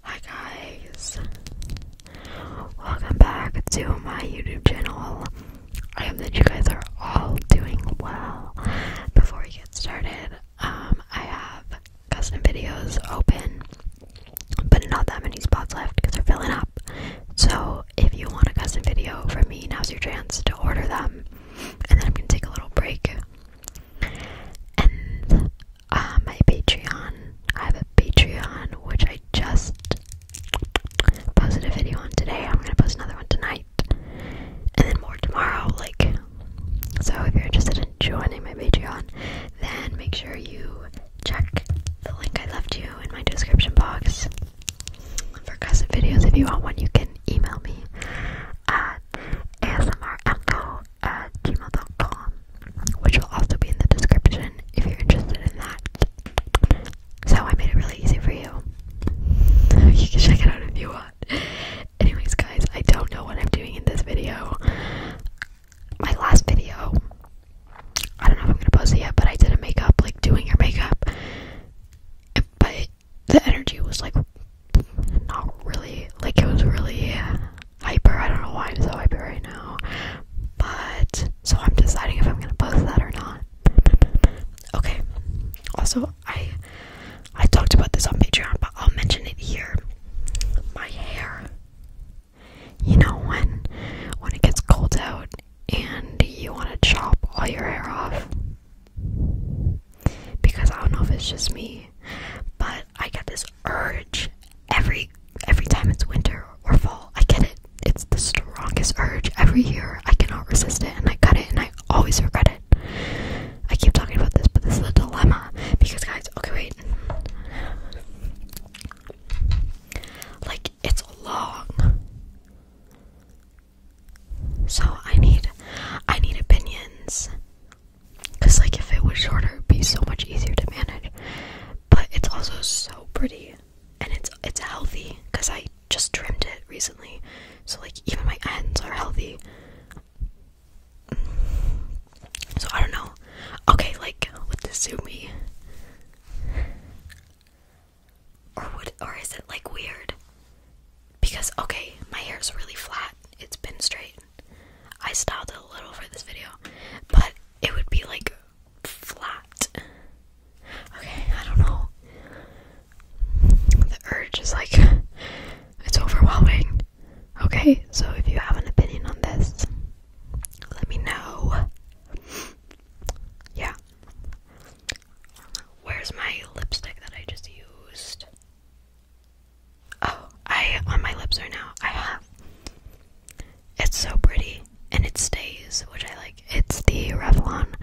Hi guys, welcome back to my YouTube channel. I hope that you guys are all doing well. Before we get started, um, I have custom videos open, but not that many spots left because they're filling up. So if you want a custom video from me, now's your chance to order them, and then I'm gonna take a little break. Ah, my Patreon. I have a Patreon which I just posted a video on today. I'm gonna post another one tonight, and then more tomorrow. Like, so if you're interested in joining my Patreon, then make sure you check the link I left you in my description box for custom videos. If you want one, you can email me at asmrecho at gmail.com, which will also be in the description if you're interested in that. So I made it really easy for you. You can check it out if you want. Anyways, guys, I don't know what I'm doing in this video. My last video, I don't know if I'm gonna post it yet, but I did a makeup, like doing your makeup. But the energy was like not really like it was really hyper. I don't know why I'm so hyper right now, but so I'm deciding if I'm gonna post that or not. Okay. Also, I I talked about this on Patreon, but I'll mention it here. My hair. You know when when it gets cold out and you want to chop all your hair off because I don't know if it's just me, but I get this urge every every time it's winter or fall. I get it. It's the strongest urge every year. I cannot resist it, and I cut it, and I always regret it. I keep talking about this, but this is a dilemma because guys, okay, wait. Like it's long. So I need I need opinions Cause like if it was shorter, it'd be so much easier to manage. But it's also so pretty, and it's it's healthy. Cause I just trimmed it recently, so like even my ends are healthy. So I don't know. Okay, like with the zoomy, or would or is it like weird? because okay, my hair is really flat. It's been straight. I styled it a little for this video, but it would be like flat. Okay, I don't know. The urge is like it's overwhelming. Okay, so if you have an opinion on this, let me know. Yeah. Where's my lipstick that I just used? Oh, I on my lips right now. I have. It's so pretty and it stays, which I like. It's the Revlon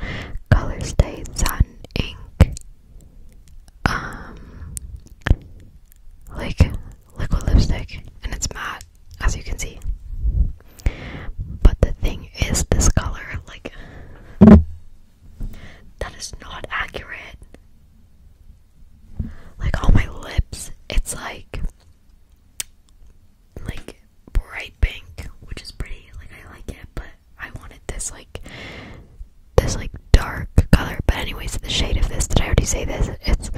Color Stay Satin Ink. Um like liquid lipstick and it's matte as you can see. But the thing is this color like that is not accurate. Like on my lips, it's like like bright pink, which is pretty. Like I like it, but I wanted this like this like dark color. But anyways, the shade of this, did I already say this? It's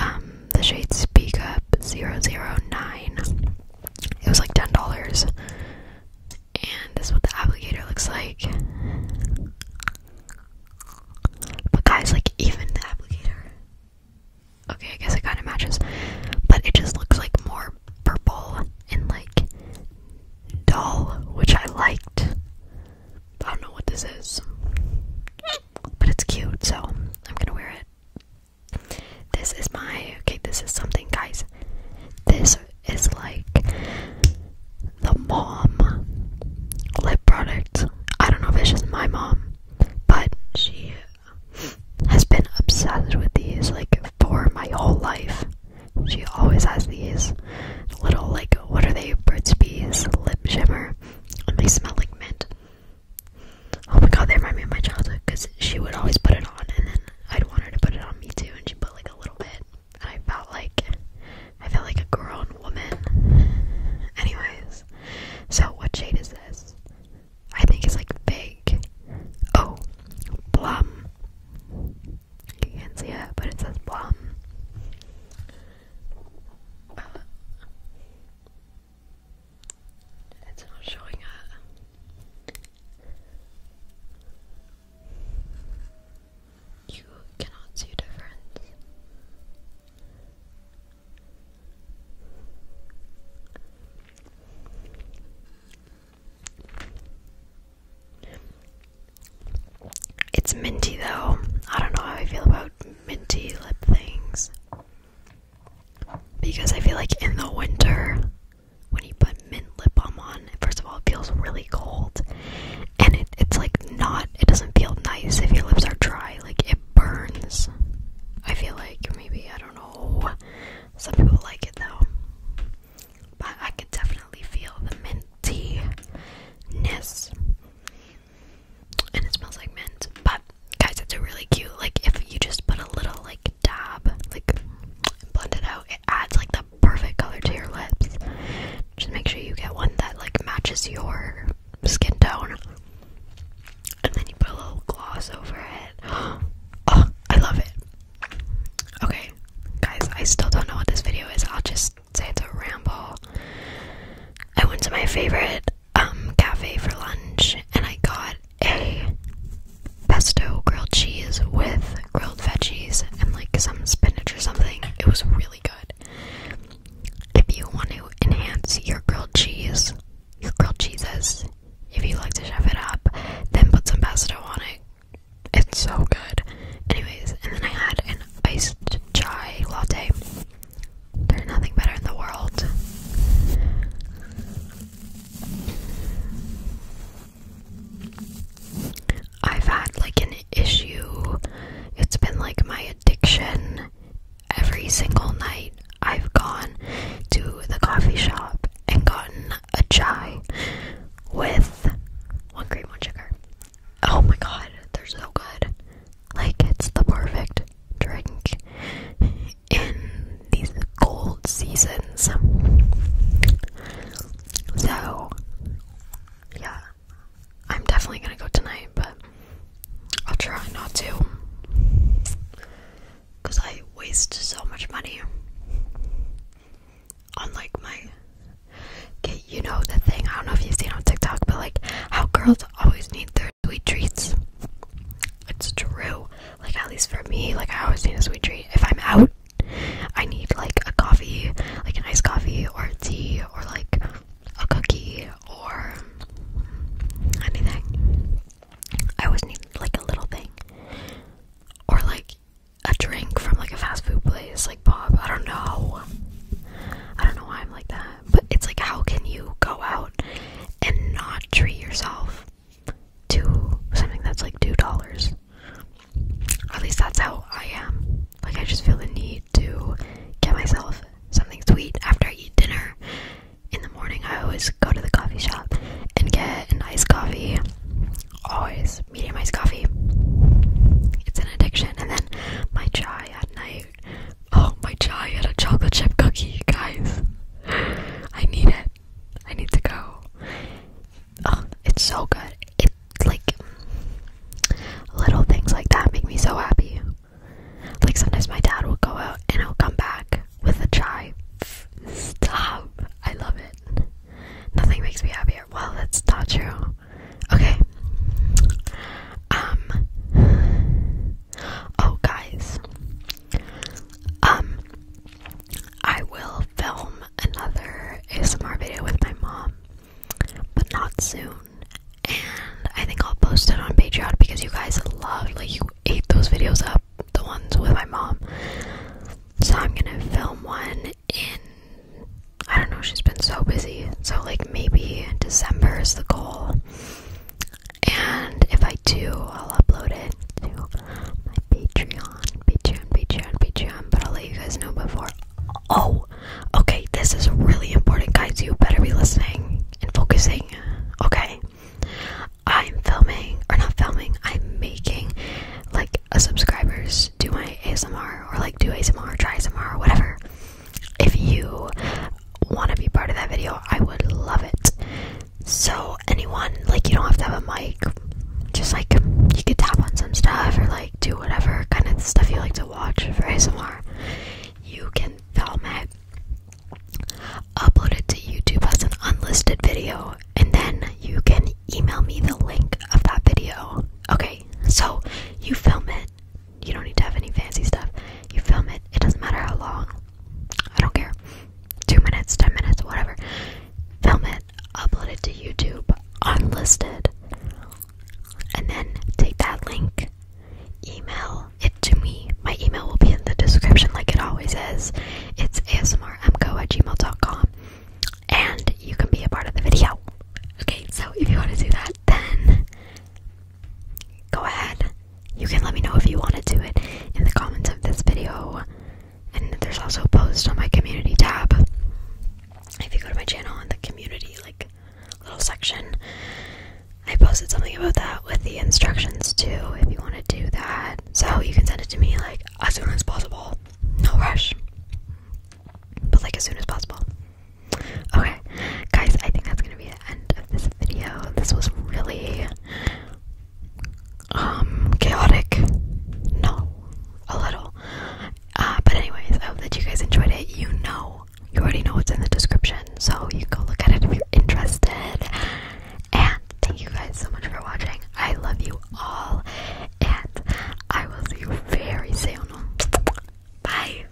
um the shade Speak Up 009. It was like $10. And this is what the applicator looks like. But guys, like even the applicator. Okay, I guess it kind of matches. But it just looks like more purple and like dull, which I liked. I don't know what this is. But it's cute, so I'm gonna wear it. This is my okay, this is something guys. This is like the mom lip product. I don't know if it's just my mom, but she has been obsessed with these like for my whole life. She always has these little like what are they? Burt's Bees lip shimmer, and they smell like mint. Oh my god, they remind me of my childhood because she would always put it on and then I'd want her to put it on me too, and she put like a little bit. And I felt like I felt like a grown woman. Anyways, so what shade is this? I think it's like big. Oh, plum. You can't see it, but it says plum. Uh, it's not showing up. You cannot see a difference. It's minty though. I don't know how I feel about minty lip things. Because I feel like in the winter, when you put mint lip balm on, first of all, it feels really cold, and it, it's like not, it doesn't feel nice if your lips are dry, like it burns. I feel like maybe, I don't know, some people like it though, but I could definitely feel the mintiness, and it smells like mint, but guys, it's a really cute, like if you just put a little like dab, like blend it out. It adds like the perfect color to your lips. Just make sure you get one that like matches your skin tone. And then you put a little gloss over it. Oh, I love it. Okay, guys, I still don't know what this video is. I'll just say it's a ramble. I went to my favorite um cafe for lunch and I got a pesto grilled cheese with grilled veggies and like some spinach or something. It was really good. If you want to enhance your grilled cheese, your grilled cheeses, if you like to shove it up, then put some pesto on it. It's so good. Anyways, and then I had an iced chai latte. There's nothing better in the world. I've had like an issue. It's been like my addiction. Every single night, I've gone to the coffee shop and gotten a chai with one cream, one sugar. Oh my god, they're so good. Like, it's the perfect drink in these cold seasons. So, yeah, I'm definitely gonna go tonight, but I'll try not to because I waste so much money on like my. Okay, you know the thing, I don't know if you've seen on TikTok, but like how girls always need their sweet treats. It's true. Like at least for me, like I always need a sweet treat. If I'm out, I need like a coffee, like an iced coffee or tea or like a cookie or anything. I always need like a little thing. Or like a drink from like a fast food place, like Bob. I don't know. I don't know why I'm like that. But it's like how can you go out and not treat yourself? two something that's like two dollars. At least that's how I am. Like I just feel the need to get myself something sweet after I eat dinner. In the morning, I always go to the coffee shop and get an iced coffee. Always medium iced coffee. It's an addiction. And then my chai at night Oh, my chai had a chocolate chip cookie, guys. I need it. I need to go. Oh, it's so good. It like little things like that make me so happy. Like sometimes my dad will go out and he'll come back with a chai. Stop. I love it. Nothing makes me happier. Well, that's not true. Okay. Um. Oh, guys. Um, I will film another ASMR video with my mom, but not soon. And I think I'll post it on Patreon because you guys love like, you ate those videos up, the ones with my mom. So I'm gonna film one in. I don't know, she's been so busy. So, like, maybe December is the goal. And if I do, I'll upload it to my Patreon, Patreon, Patreon, Patreon. But I'll let you guys know before. Oh, okay. This is really important, guys. You better be listening and focusing. Okay. I'm filming, or not filming, I'm making like a subscribers do my ASMR or like do ASMR, try ASMR, or whatever if you want to be part of that video, I would love it. So, anyone, like, you don't have to have a mic, just like you could tap on some stuff or like do whatever kind of stuff you like to watch for ASMR. You can film it, upload it to YouTube as an unlisted video, and then you can email me the link of that video. Okay, so you film it, you don't need to have any fancy stuff. You film it, it doesn't matter how long. I don't care. Two minutes, ten minutes, whatever. Film it, upload it to YouTube, unlisted. And then take that link, email it to me. My email will be in the description like it always is. It's asmrmco at gmail.com. And you can be a part of the video. Okay, so if you want to do that, then go ahead. You can let me know if you want to do it in the comments of this video. And there's also a post on my community tab. If you go to my channel in the community, like little section, I posted something about that with the instructions too. If you want to do that, so you can send it to me like as soon as possible. No rush, but like as soon as possible. Okay, guys, I think that's gonna be the end of this video. This was really um chaotic. No, a little. Uh, but anyways, I hope that you guys enjoyed it. You know, you already know what's in the description, so you go look at it if you're interested. And thank you guys so much for watching. I love you all, and I will see you very soon. Bye.